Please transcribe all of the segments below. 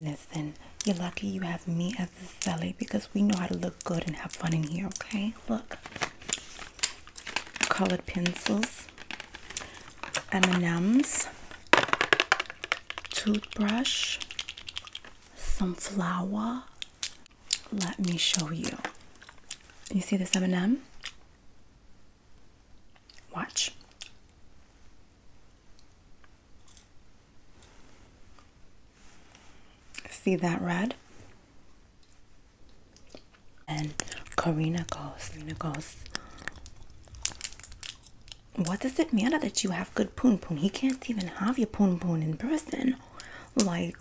Listen, you're lucky you have me as the celly because we know how to look good and have fun in here, okay? Look, colored pencils, M&M's, toothbrush, some flour. Let me show you. You see this M&M? Watch. See that red? And Karina goes, Karina goes, What does it matter that you have good poon poon? He can't even have your poon poon in person. Like,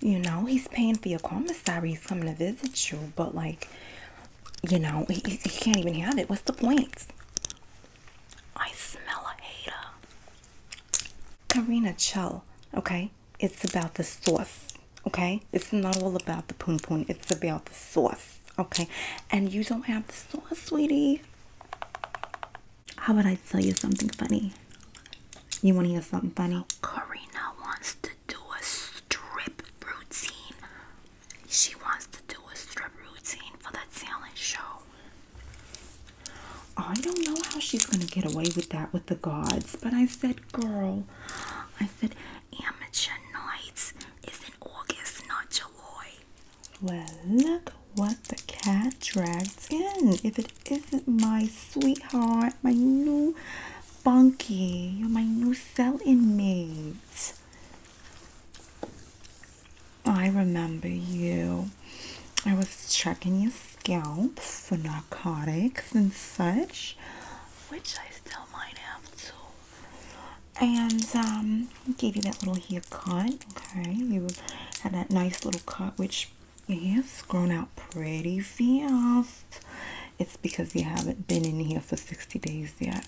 you know, he's paying for your commissary, he's coming to visit you, but like, you know, he, he can't even have it. What's the point? I smell a hater. Karina, Chell. okay? It's about the sauce, okay? It's not all about the poon poon, it's about the sauce, okay? And you don't have the sauce, sweetie. How about I tell you something funny? You want to hear something funny? Karina wants to do a strip routine she wants to do a strip routine for that talent show. Oh, I don't know how she's gonna get away with that with the gods, but I said, girl, I said, amateur nights is in August, not July. Well, look what the cat dragged in. If it isn't my sweetheart, my new bunkie, my new cell inmate. I remember you. I was checking your scalp for narcotics and such, which I still might have to. And um, gave you that little haircut. Okay, you had that nice little cut, which has grown out pretty fast. It's because you haven't been in here for 60 days yet.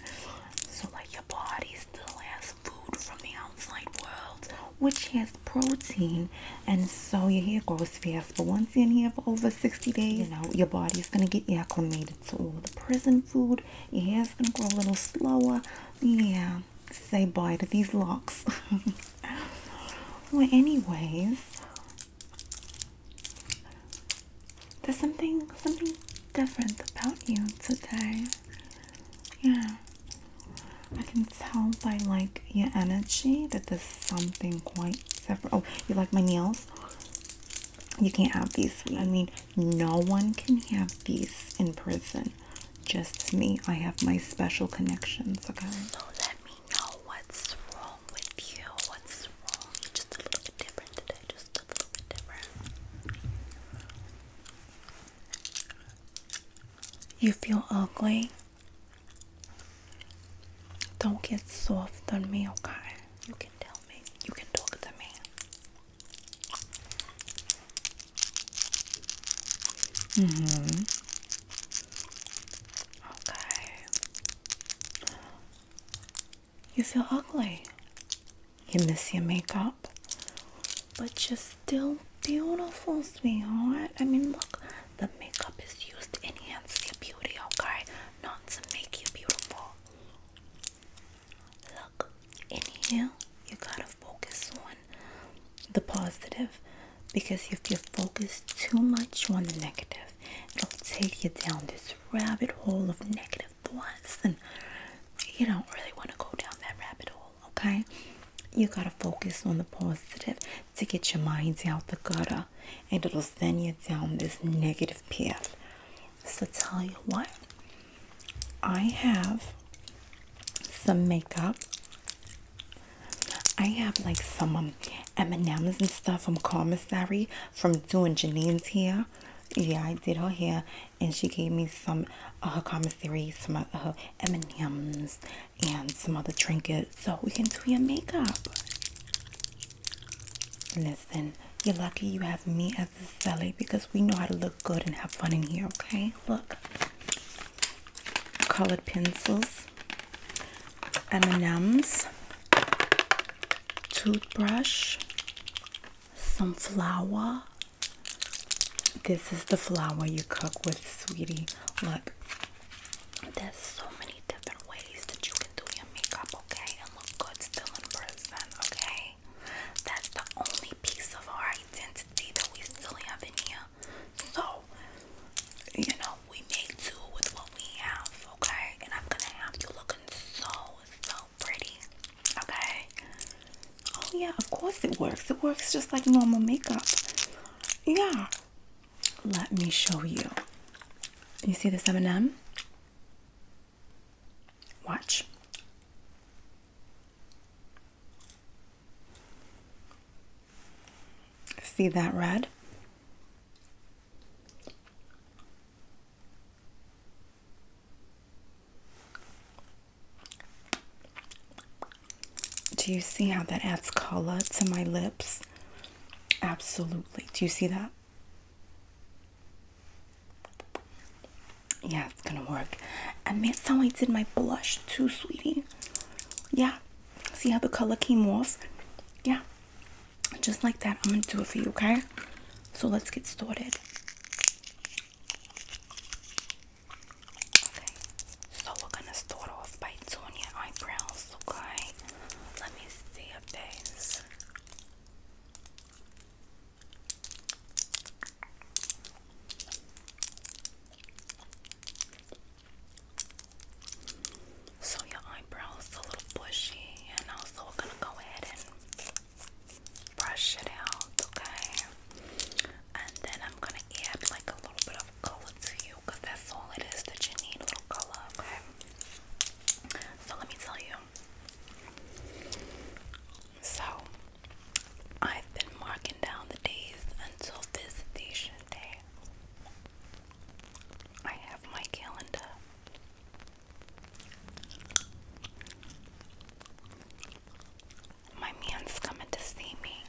So like your body's still has food from the outside world, which has protein, and so your hair grows fast. But once in here for over 60 days, you know your body is gonna get acclimated to all the prison food. Your hair's gonna grow a little slower. Yeah, say bye to these locks. well, anyways, there's something something different about you today. Yeah. I can tell by like your energy that there's something quite separate. Oh, you like my nails? You can't have these. I mean, no one can have these in prison. Just me. I have my special connections, okay? let me know what's wrong with you. What's wrong? you just a little bit different today. Just a little bit different. You feel ugly? Don't get soft on me, okay? You can tell me. You can talk to me. Mm-hmm. Okay. You feel ugly. You miss your makeup, but you're still beautiful, sweetheart. I mean, look, the makeup is used to enhance your beauty, okay? Not to make you beautiful. Look, in here, you gotta focus on the positive because if you focus too much on the negative, it'll take you down this rabbit hole of negative thoughts, and you don't really want to go down that rabbit hole okay? You gotta focus on the positive to get your minds out the gutter and it'll send you down this negative path. So, tell you what, I have some makeup. I have like some um, M&M's and stuff from commissary from doing Janine's hair. Yeah, I did her hair and she gave me some uh, her some uh, M&Ms, and some other trinkets so we can do your makeup. Listen, you're lucky you have me as the Sally because we know how to look good and have fun in here, okay? Look, colored pencils, M&Ms, toothbrush, some flour, this is the flour you cook with, sweetie. Look, there's so many different ways that you can do your makeup, okay? And look good still in person, okay? That's the only piece of our identity that we still have in here. So, you know, we make do with what we have, okay? And I'm gonna have you looking so, so pretty. Okay. Oh yeah, of course it works. It works just like normal makeup. Yeah. Let me show you. You see this M&M? Watch. See that red? Do you see how that adds color to my lips? Absolutely. Do you see that? Yeah, it's gonna work. And that's how I did my blush too, sweetie. Yeah, see how the color came off? Yeah, just like that. I'm gonna do it for you, okay? So let's get started. Okay, so we're gonna start off by doing your eyebrows, okay? Let me see if there's so your eyebrows a little bushy and also we're gonna go ahead and brush it out, okay? And then I'm gonna add like a little bit of color to you that's all it is that you need little color, okay? So let me tell you. So I've been marking down the days until visitation day. I have my calendar. My man's coming to see me.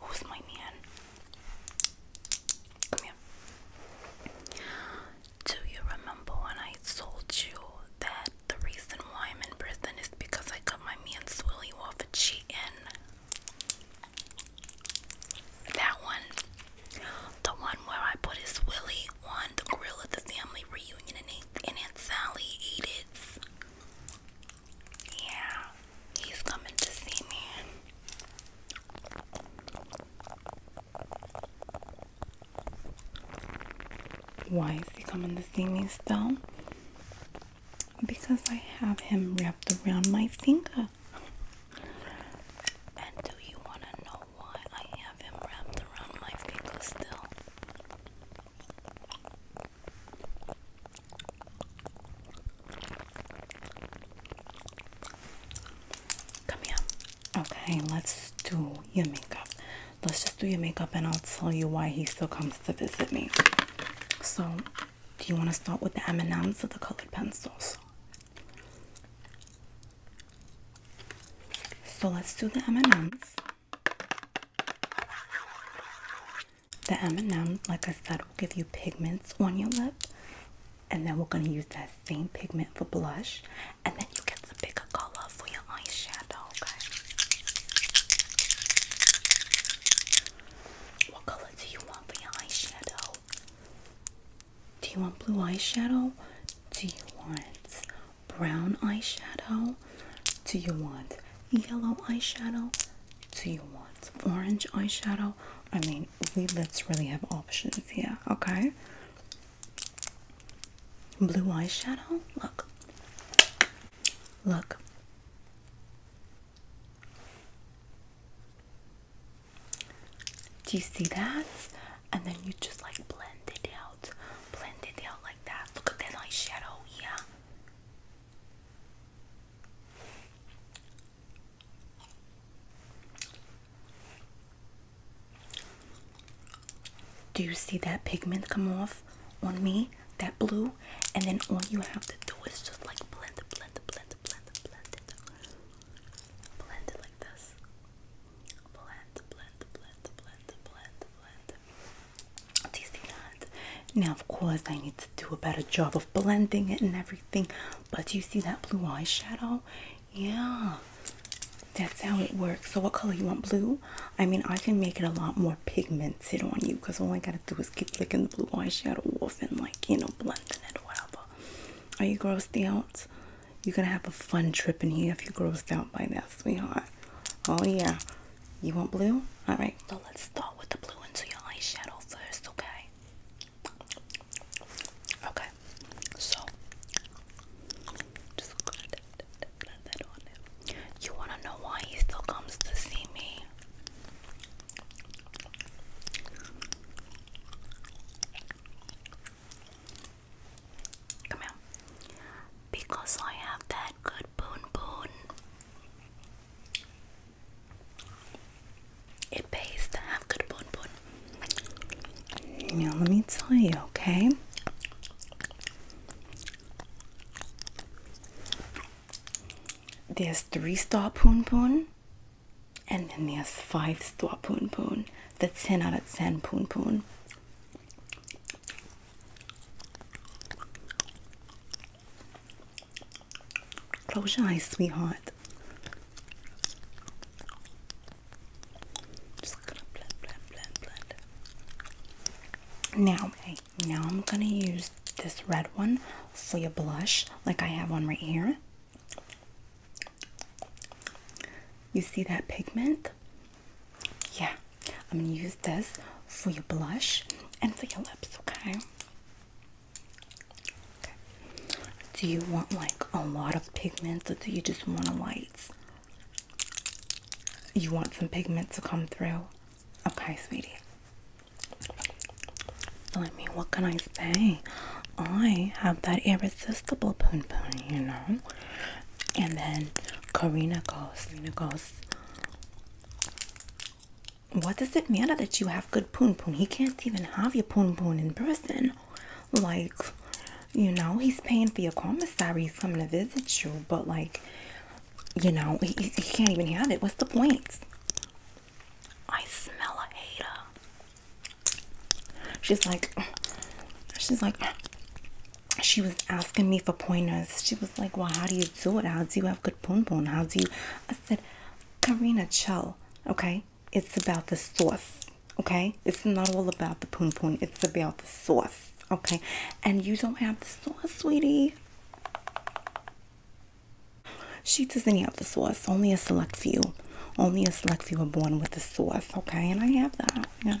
who's my man? Do you remember when I told you that the reason why I'm in prison is because I cut my man's willy off a cheating? That one. The one where I put his Willy on the grill at the family reunion and, and Sally ate it. Yeah, he's coming to see me. Why is he coming to see me still? Because I have him wrapped around my finger. And do you want to know why I have him wrapped around my finger still. Come here. Okay, let's do your makeup. Let's just do your makeup and I'll tell you why he still comes to visit me. So, do you want to start with the M&Ms or the colored pencils? So let's do the M&Ms. The M&Ms, like I said, will give you pigments on your lip. And then we're going to use that same pigment for blush. And then you get the bigger color for your eyeshadow, okay? What color do you want for your eyeshadow? Do you want blue eyeshadow? Do you want brown eyeshadow? Do you want yellow eyeshadow? Do you want orange eyeshadow? I mean, we let's really have options here, okay? Blue eyeshadow? Look. Look. Do you see that? And then you just like blend it out. Blend it out like that. Look at that eyeshadow, yeah. Do you see that pigment come off on me? That blue? And then all you have to do is just like blend, blend, blend, blend, blend, blend it. Blend it like this blend, blend, blend, blend, blend, blend. Do you Now, of course, I need to do a better job of blending it and everything. But do you see that blue eyeshadow? Yeah, that's how it works. So, what color you want? Blue? I mean, I can make it a lot more pigmented on you because all I gotta do is keep licking the blue eyeshadow off and, like, you know, blending it or whatever. Are you grossed out? You're gonna have a fun trip in here if you grossed stout by that, sweetheart. Oh yeah. You want blue? Alright, so let's start with the blue into your eyeshadow first, okay? Okay, so You wanna know why he still comes to see me? Come here. Because I have that good boon boon. It pays to have good boon boon. Now let me tell you, okay? There's three star poon poon and then there's five star poon poon. The 10 out of 10 poon poon. Close your eyes, sweetheart. Now, now I'm gonna use this red one for your blush, like I have one right here. You see that pigment? Yeah, I'm gonna use this for your blush and for your lips, okay? Do you want like a lot of pigment or do you just want a light? You want some pigment to come through? Okay, sweetie. So, I what can I say? I have that irresistible poon poon, you know. And then Karina goes, Karina goes, What does it matter that you have good poon poon? He can't even have your poon poon in person. Like, you know, he's paying for your commissary, he's coming to visit you, but like, you know, he, he can't even have it. What's the point? I smell a hater. She's like, she's like, she was asking me for pointers. She was like, well, how do you do it? How do you have good poon poon? How do you? I said, Karina, chill. Okay, it's about the sauce. Okay, it's not all about the poon poon. It's about the sauce. Okay, and you don't have the sauce, sweetie. She doesn't have the sauce. Only a select few. Only a slutty few born with the source, okay? And I have that, you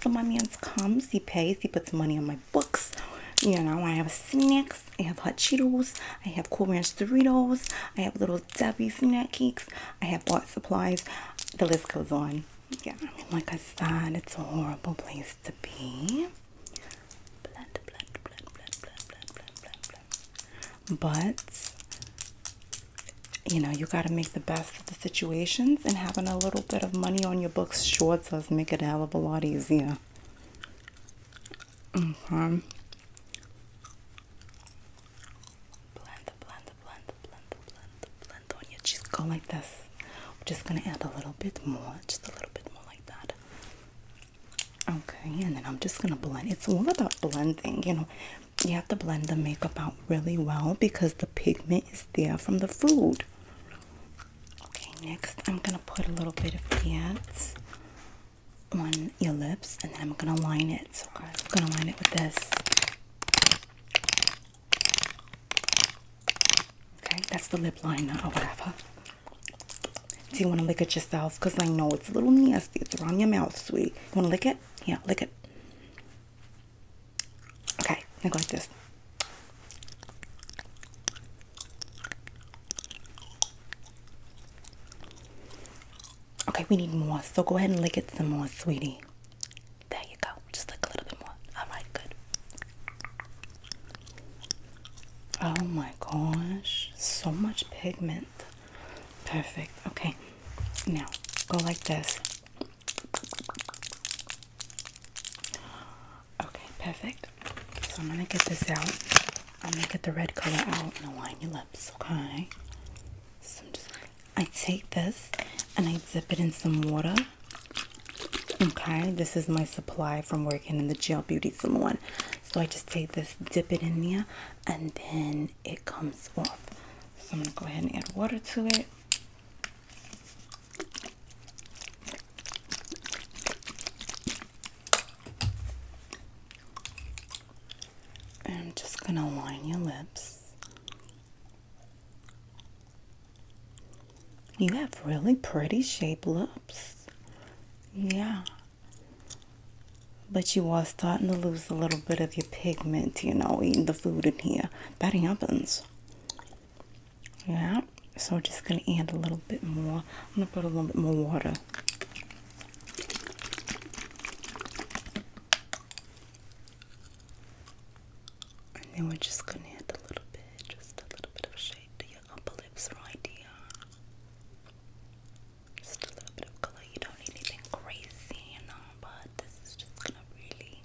So my man's comes, he pays, he puts money on my books. You know, I have snacks, I have hot Cheetos, I have Cool Ranch Doritos, I have Little Debbie snack cakes, I have art supplies. The list goes on. Yeah, I mean, like I said, it's a horrible place to be. But you know, you got to make the best of the situations, and having a little bit of money on your books sure does make it a hell of a lot easier. Okay. Mm-hmm. Blend, blend, blend, blend, blend, blend on your cheeks. Go like this. just gonna add a little bit more, just a little bit more like that. Okay, and then I'm just gonna blend. It's all about blending, you know you have to blend the makeup out really well because the pigment is there from the food. Okay, next I'm gonna put a little bit of pants on your lips and then I'm gonna line it. So I'm gonna line it with this. Okay, that's the lip liner or whatever. Do you want to lick it yourself? Because I know it's a little nasty. It's around your mouth, sweet. You want to lick it? Yeah, lick it. Okay, I go like this. Okay, we need more. So go ahead and lick it some more, sweetie. There you go. Just lick a little bit more. All right, good. Oh my gosh, so much pigment. Perfect. Okay, now go like this. Okay, perfect. So I'm gonna get this out. I'm gonna get the red color out and align your lips, okay? So I'm just I take this and I dip it in some water. Okay, this is my supply from working in the gel beauty salon. So I just take this, dip it in there, and then it comes off. So I'm going to go ahead and add water to it. I'm just going to line your lips. You have really pretty shaped lips. Yeah. But you are starting to lose a little bit of your pigment, you know, eating the food in here. That happens. Yeah, so just gonna add a little bit more. I'm gonna put a little bit more water. And then we're just gonna add a little bit, just a little bit of shade to your upper lips right idea. Just a little bit of color. You don't need anything crazy, you know but this is just gonna really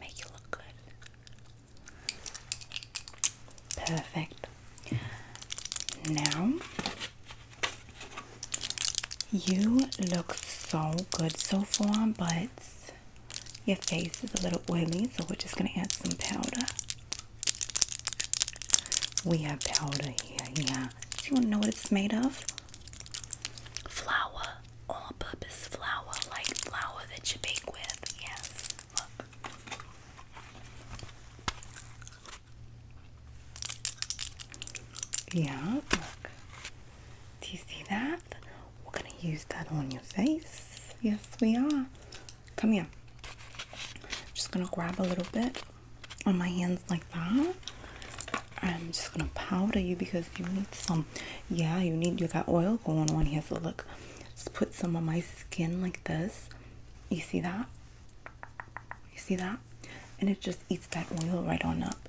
make you look good. Perfect. Now you look so good so far, but your face is a little oily, so we're just gonna add some powder. We have powder here, yeah. Do you wanna know what it's made of? Flour all purpose flour, like flour that you bake with. Yes, Yeah, Do you see that? We're gonna use that on your face. Yes, we are. Come here. Just gonna grab a little bit on my hands like that. I'm just gonna powder you because you need some. Yeah, you need you got oil going on here. So look, just put some on my skin like this. You see that? You see that? And it just eats that oil right on up.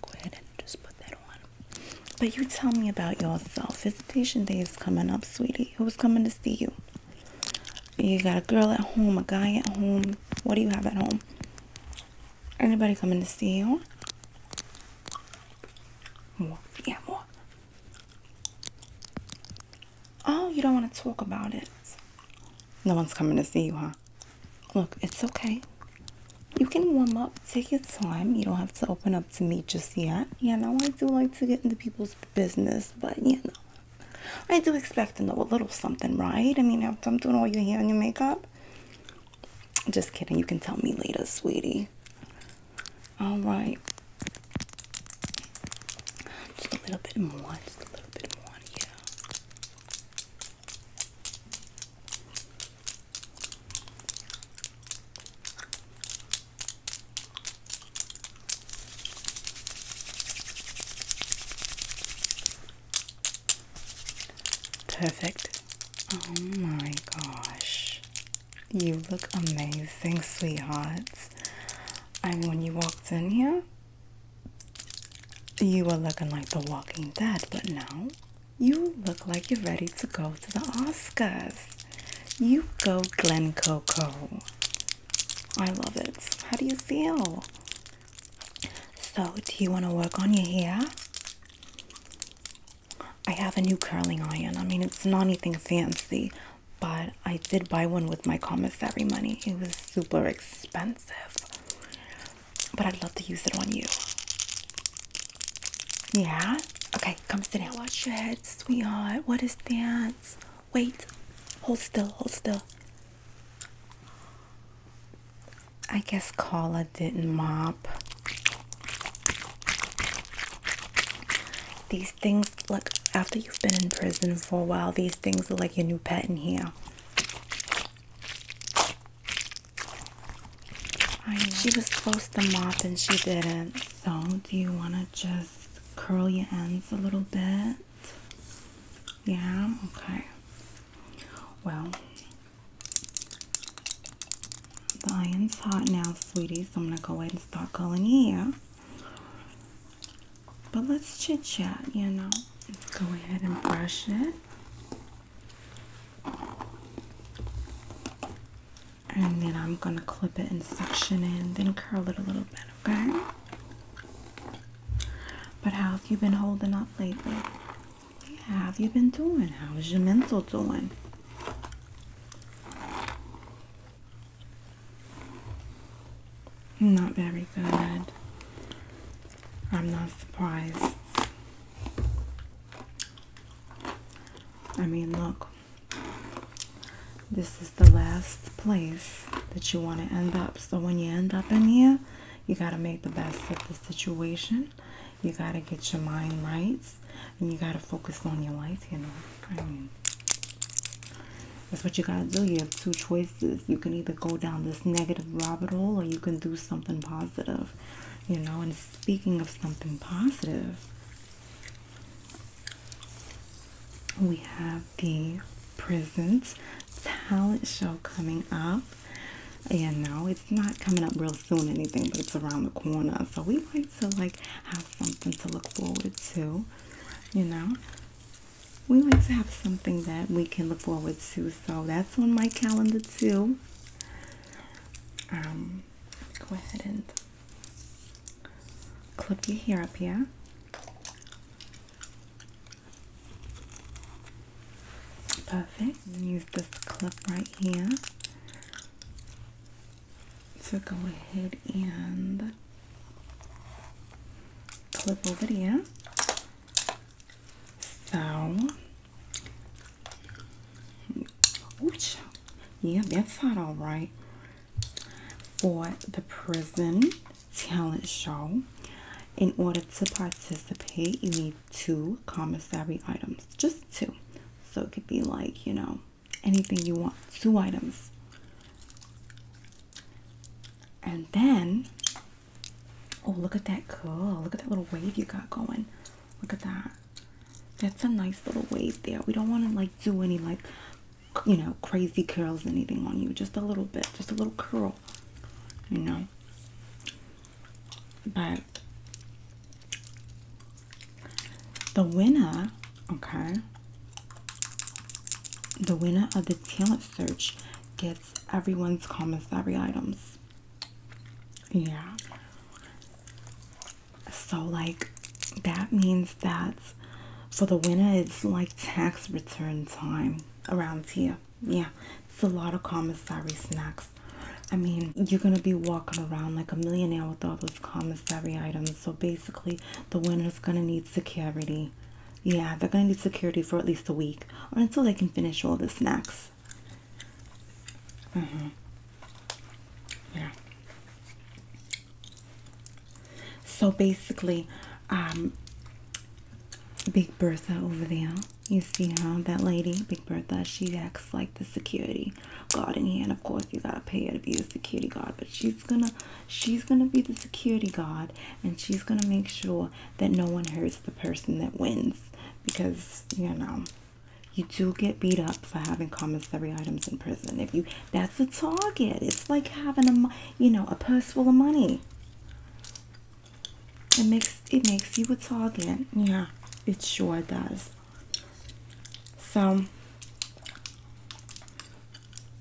Go ahead and just put that on. But you tell me about yourself. Visitation day is coming up, sweetie. Who's coming to see you? You got a girl at home, a guy at home. What do you have at home? Anybody coming to see you? More. Yeah, more. Oh, you don't want to talk about it. No one's coming to see you, huh? Look, it's okay. You can warm up, take your time. You don't have to open up to me just yet. Yeah, now I do like to get into people's business, but you know, I do expect to know a little something, right? I mean, after I'm doing all your hair and your makeup, just kidding. You can tell me later, sweetie. All right. Just a little bit more. Just a little bit more. Yeah. Perfect. Oh my gosh. You look amazing, sweethearts. And when you walked in here, you were looking like the walking dead, but now you look like you're ready to go to the Oscars. You go Glen Coco. I love it. How do you feel? So, do you want to work on your hair? I have a new curling iron. I mean, it's not anything fancy, but I did buy one with my commissary money. It was super expensive, but I'd love to use it on you. Yeah? Okay, come sit down. Watch your head, sweetheart. What is this? Wait. Hold still. Hold still. I guess Kala didn't mop. These things, like after you've been in prison for a while, these things are like your new pet in here. She was supposed to mop and she didn't. So, do you want to just curl your ends a little bit? Yeah, okay. Well, the iron's hot now, sweetie, so I'm gonna go ahead and start curling here. But let's chit chat, you know. Let's go ahead and brush it. And then I'm gonna clip it and section it then curl it a little bit, okay? But how have you been holding up lately? How have you been doing? How is your mental doing? Not very good. I'm not surprised. I mean, look, this is the last place that you want to end up. So when you end up in here, you got to make the best of the situation. You gotta get your mind right, and you gotta focus on your life. You know, that's what you gotta do. You have two choices. You can either go down this negative rabbit hole, or you can do something positive. You know, and speaking of something positive, we have the Prisons Talent Show coming up. And now not coming up real soon anything, but it's around the corner. So we like to like have something to look forward to, you know. We like to have something that we can look forward to. So that's on my calendar too. Um go ahead and clip your hair up here. Perfect. use this clip right here. So go ahead and clip over there. So, ooch, yeah, that's not all right. For the prison talent show, in order to participate, you need only two commissary items, just two. So it could be like, you know, anything you want, two items. And then, oh, look at that curl! Look at that little wave you got going. Look at that. That's a nice little wave there. We don't want to like do any like, you know, crazy curls, anything on you. Just a little bit, just a little curl, you know. But the winner, okay, the winner of the talent search gets everyone's commissary items. Yeah. So, like, that means that for the winner, it's like tax return time around here. Yeah, it's a lot of commissary snacks. I mean, you're gonna be walking around like a millionaire with all those commissary items. So basically, the winner's gonna need security. Yeah, they're gonna need security for at least a week or until they can finish all the snacks. Mm hmm Yeah. So basically, um, Big Bertha over there you see how that lady, Big Bertha, she acts like the security guard in here, and of course you gotta pay her to be the security guard. But she's gonna, she's gonna be the security guard, and she's gonna make sure that no one hurts the person that wins, because you know, you do get beat up for having commissary items in prison. If you, that's the target. It's like having a, you know, a purse full of money. It makes it makes you a again, Yeah, it sure does. So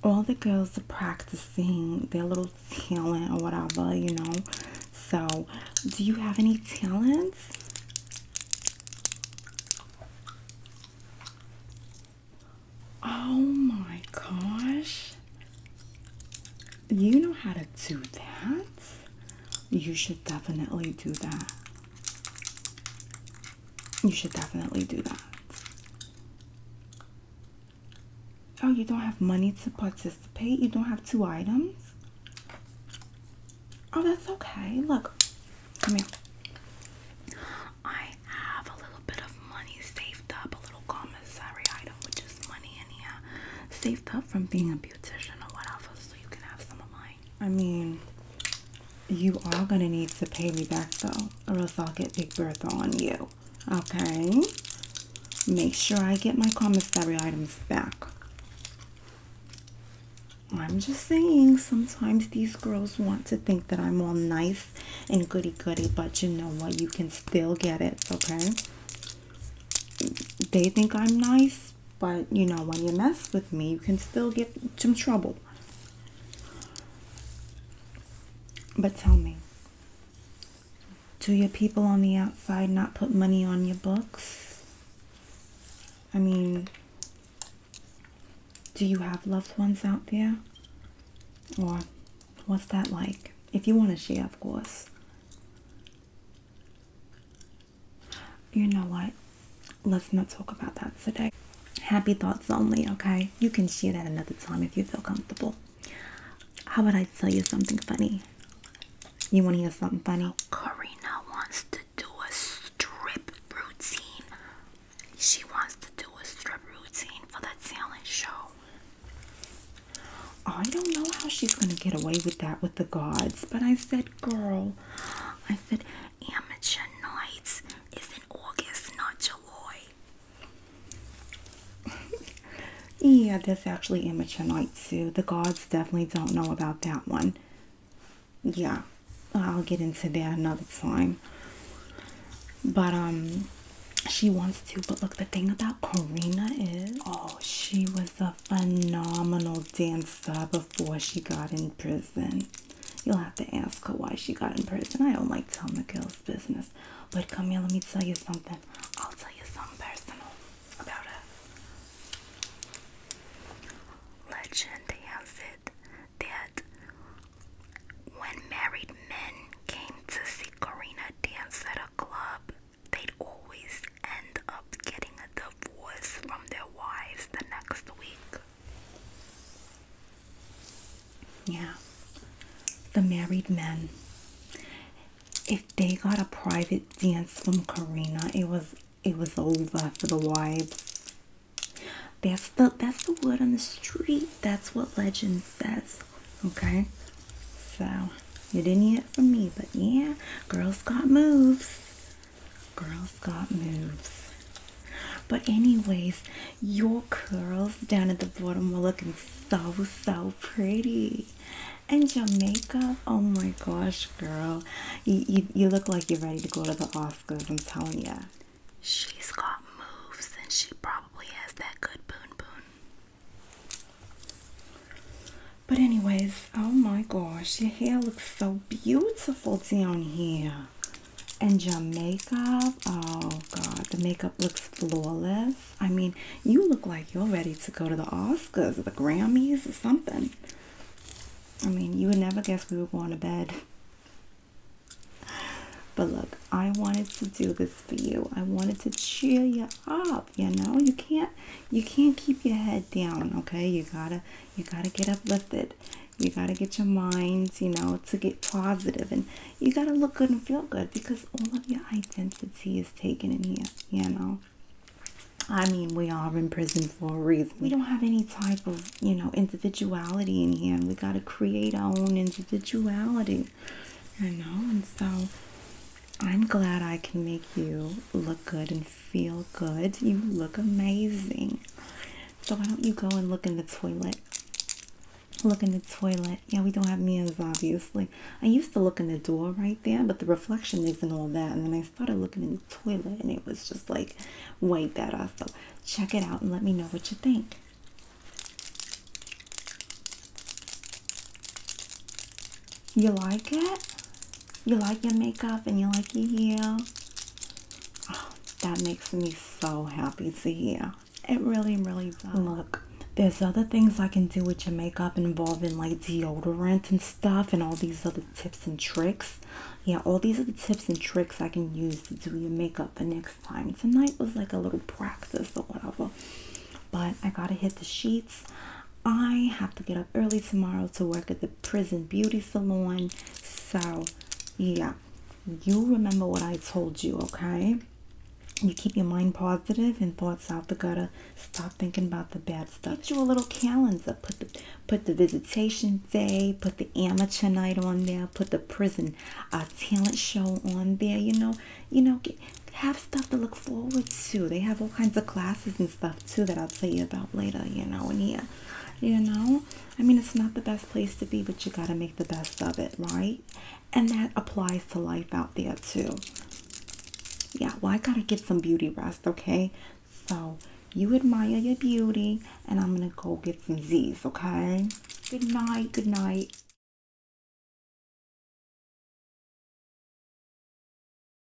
all the girls are practicing their little talent or whatever, you know. So, do you have any talents? Oh my gosh you know how to do that. You should definitely do that. You should definitely do that. Oh, you don't have money to participate? You don't have two items? Oh, that's okay. Look, come here. I have a little bit of money saved up, a little commissary item, which is money in here, saved up from being a beautician or whatever. I mean, you are gonna need to pay me back though, or else I'll get Big Bertha on you. Okay? Make sure I get my commissary items back. I'm just saying, sometimes these girls want to think that I'm all nice and goody goody, but you know what? You can still get it, okay? They think I'm nice, but you know, when you mess with me, you can still get some trouble. But tell me, do your people on the outside not put money on your books? I mean, do you have loved ones out there? Or what's that like? If you want to share, of course. You know what? Let's not talk about that today. Happy thoughts only, okay? You can share that another time if you feel comfortable. How about I tell you something funny? You want to hear something funny? Karina wants to do a strip routine. She wants to do a strip routine for the talent show. I don't know how she's going to get away with that with the gods. But I said, girl, I said, amateur nights is in August, not July. yeah, that's actually amateur nights too. The gods definitely don't know about that one. Yeah, I'll get into that another time. But, um, she wants to. But look, the thing about Karina is, oh, she was a a phenomenal dancer before she got in prison. You'll have to ask her why she got in prison. I don't like telling the girl's business. But come here, let me tell you something. I'll tell you something personal about her. Legend has it that when married men came to see Karina dance at a club, they'd always end up getting a divorce from their wives the next week. Yeah, the married men. If they got a private dance from Karina, it was it was over for the wives. That's the that's the word on the street. That's what legend says. Okay, so you didn't hear it from me, but yeah, girls got moves. Girls got moves. But anyways, your curls down at the bottom are looking so, so pretty. And your makeup, oh my gosh, girl. You, you, look like you're ready to go to the Oscars, I'm telling you. She's got moves and she probably has that good boon boon. But anyways, oh my gosh, your hair looks so beautiful down here. And your makeup, oh god, the makeup looks flawless. I mean, you look like you're ready to go to the Oscars or the Grammys or something. I mean, you would never guess we were going to bed. But look, I wanted to do this for you. I wanted to cheer you up you know you can't you can't keep your head down okay you gotta you gotta get uplifted you gotta get your minds you know to get positive and you gotta look good and feel good because all of your identity is taken in here you know i mean we are in prison for a reason we don't have any type of you know individuality in here and we gotta create our own individuality you know and so I'm glad I can make you look good and feel good. You look amazing. So why don't you go and look in the toilet? Look in the toilet. Yeah, we don't have mirrors, obviously. I used to look in the door right there, but the reflection isn't all that. And then I started looking in the toilet, and it was just like way better. So check it out and let me know what you think. You like it? You like your makeup and you like your hair? Oh, that makes me so happy to hear. It really, really does. Look, there's other things I can do with your makeup involving like deodorant and stuff and all these other tips and tricks. Yeah, all these are the tips and tricks I can use to do your makeup the next time. Tonight was like a little practice or whatever. But I gotta hit the sheets. I have to get up early tomorrow to work at the prison beauty salon. So, yeah, you remember what I told you, okay? You keep your mind positive and thoughts out the gutter. Stop thinking about the bad stuff. Do a little calendar. Put the put the visitation day. Put the amateur night on there. Put the prison uh, talent show on there. You know, you know, get, have stuff to look forward to. They have all kinds of classes stuff too that I'll tell you about later, you know, and here. You know? I mean it's not the best place to be, but you gotta make the best of it, right? And that applies to life out there too. Yeah, well I gotta get some beauty rest, okay? So you admire your beauty and I'm gonna go get some Z's, okay? Good night, good night.